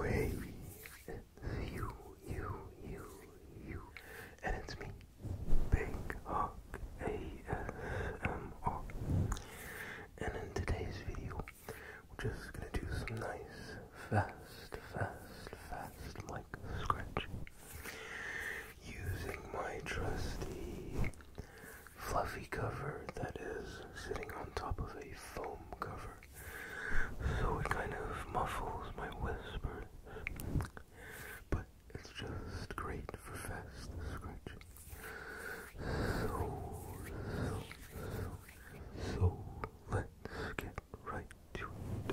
Wave. You, you, you, you. And it's me, Big Hawk ASMR. And in today's video, we're just gonna do some nice, fast, fast, fast like scratch using my trusty fluffy cover that is sitting on top of a foam cover. So it kind of muffles my whisper, But it's just great for fast scratch. so, so let's get right to it.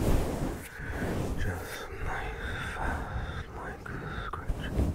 Just nice, fast, like scratching.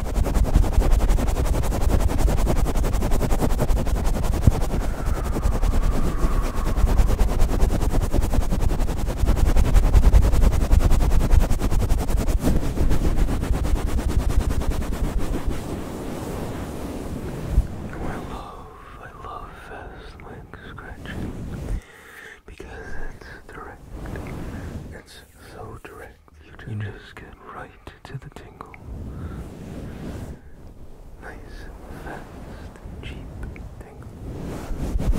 love, I love fast leg scratching because it's direct. It's so direct. You just get right to the tingle. Nice, fast, cheap tingle.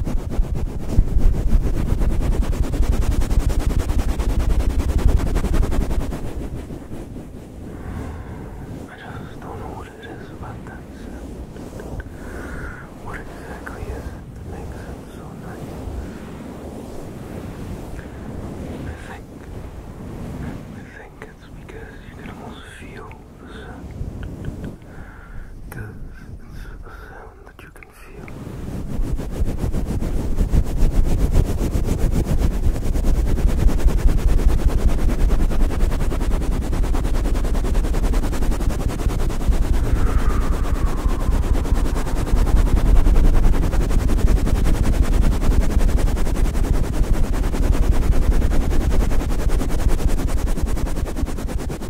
I just don't know what it is about that sound. What exactly is it that makes it so nice? I think, I think it's because you can almost feel because it's a sound that you can feel.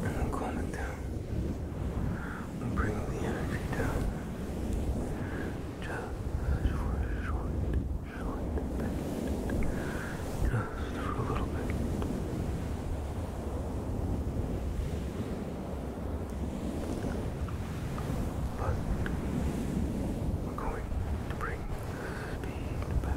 And I'm calming down. I'm bringing the energy down just for a little bit. But we're going to bring the speed back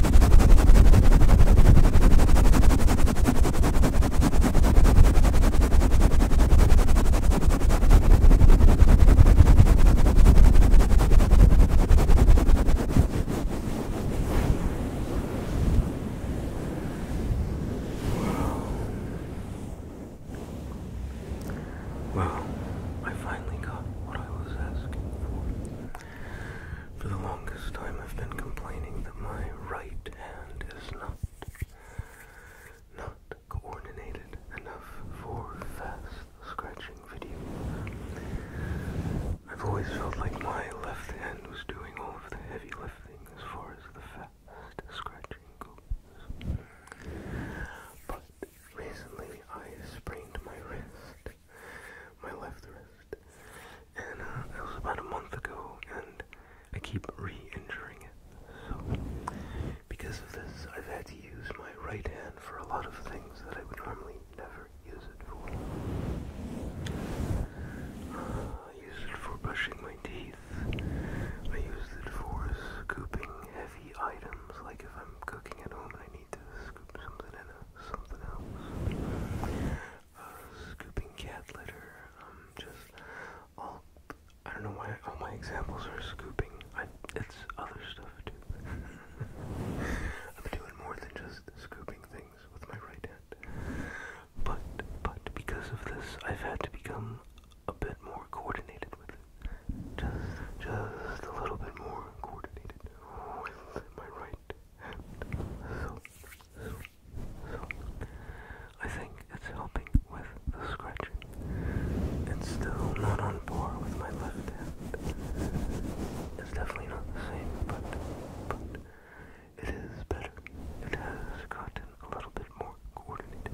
Wow, I finally got what I was asking for. For the longest time, I've been complaining that my right hand is not not coordinated enough for fast scratching videos. I've always felt like my left hand was doing all of the heavy lifting as far as the fast scratching goes. But recently I sprained my wrist my left wrist. And uh, it was about a month ago, and I keep re-injuring it. So, because of this, I've had to use my right hand for a lot of things that I would normally never use it for. Uh, I use it for brushing my teeth. I use it for scooping heavy items, like if I'm cooking at home and I uh, scooping cat litter. Um, just all. I don't know why all my examples are scooping. I, it's other stuff too. I'm doing more than just scooping things with my right hand. But but because of this, I've had to become a bit more coordinated with it. Just just a little bit more coordinated with my right I think it's helping with the scratching. It's still not on par with my left hand. It's definitely not the same, but but it is better. It has gotten A little bit more coordinated.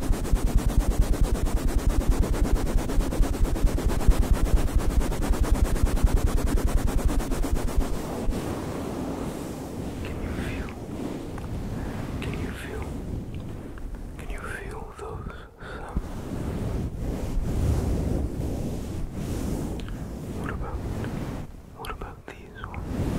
Can you feel? Can you feel? Can you feel those sounds? Um, what about? What about these ones?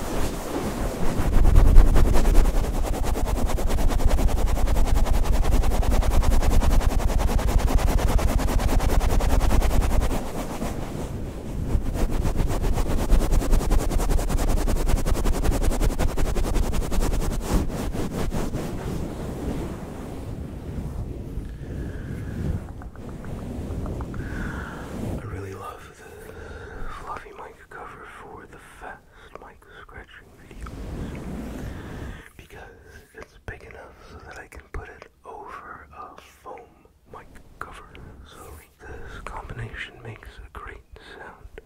I really love the fluffy mic cover for the fast mic scratching videos because it's big enough so that I can put it over a foam mic cover. So this combination makes a great sound,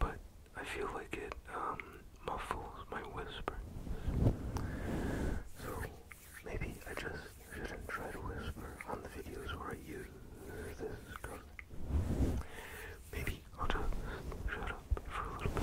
but I feel like it um, muffles my whisper. So Maybe I just shouldn't try to whisper on the videos where I use this Maybe I'll just shut up for a bit.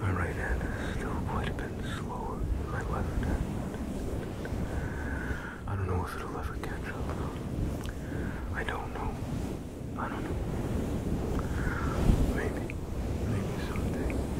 My right hand is still quite a bit slower than my left hand. I don't know if it'll ever catch up. I don't know. I don't know. Maybe. Maybe someday.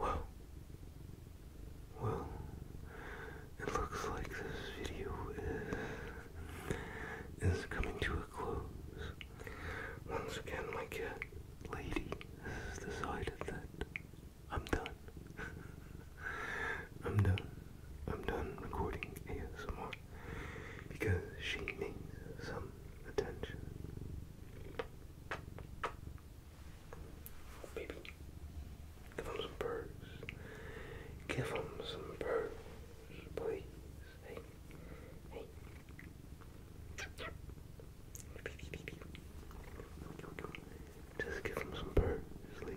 Well, well, it looks like this video is, is coming to a close. Once again, my cat, Lady, has decided that I'm done. I'm done. I'm done recording ASMR because she needs some attention. Oh, baby, give him some birds. Give him some birds, please. Hey, hey. Just give him some birds, lady.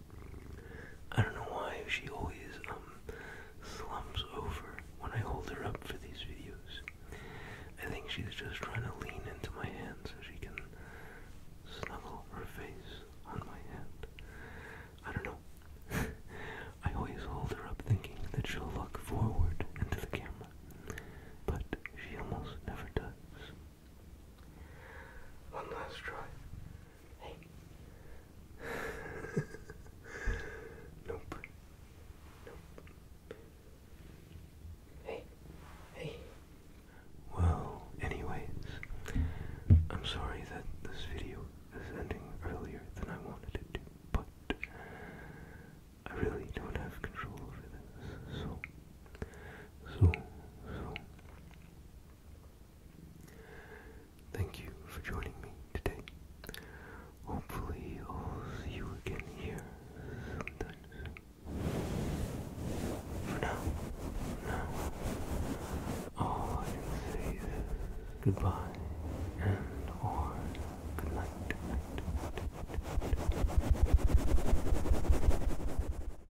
I don't know why she always um, slumps over when I hold her up for these videos. I think she's just trying to lean into my hand so she can snuggle her face on my hand. I don't know. I always hold her up thinking that she'll look forward into the camera, but she almost never does. One last try. Hey. nope. Nope. Hey. Hey. Well, anyways, I'm sorry that this video is ending earlier than I wanted it to, but I really don't have control over this, so, so, so, Thank you for joining me today. Hopefully, I'll see you again here sometime For now, now, all I can say is goodbye and or good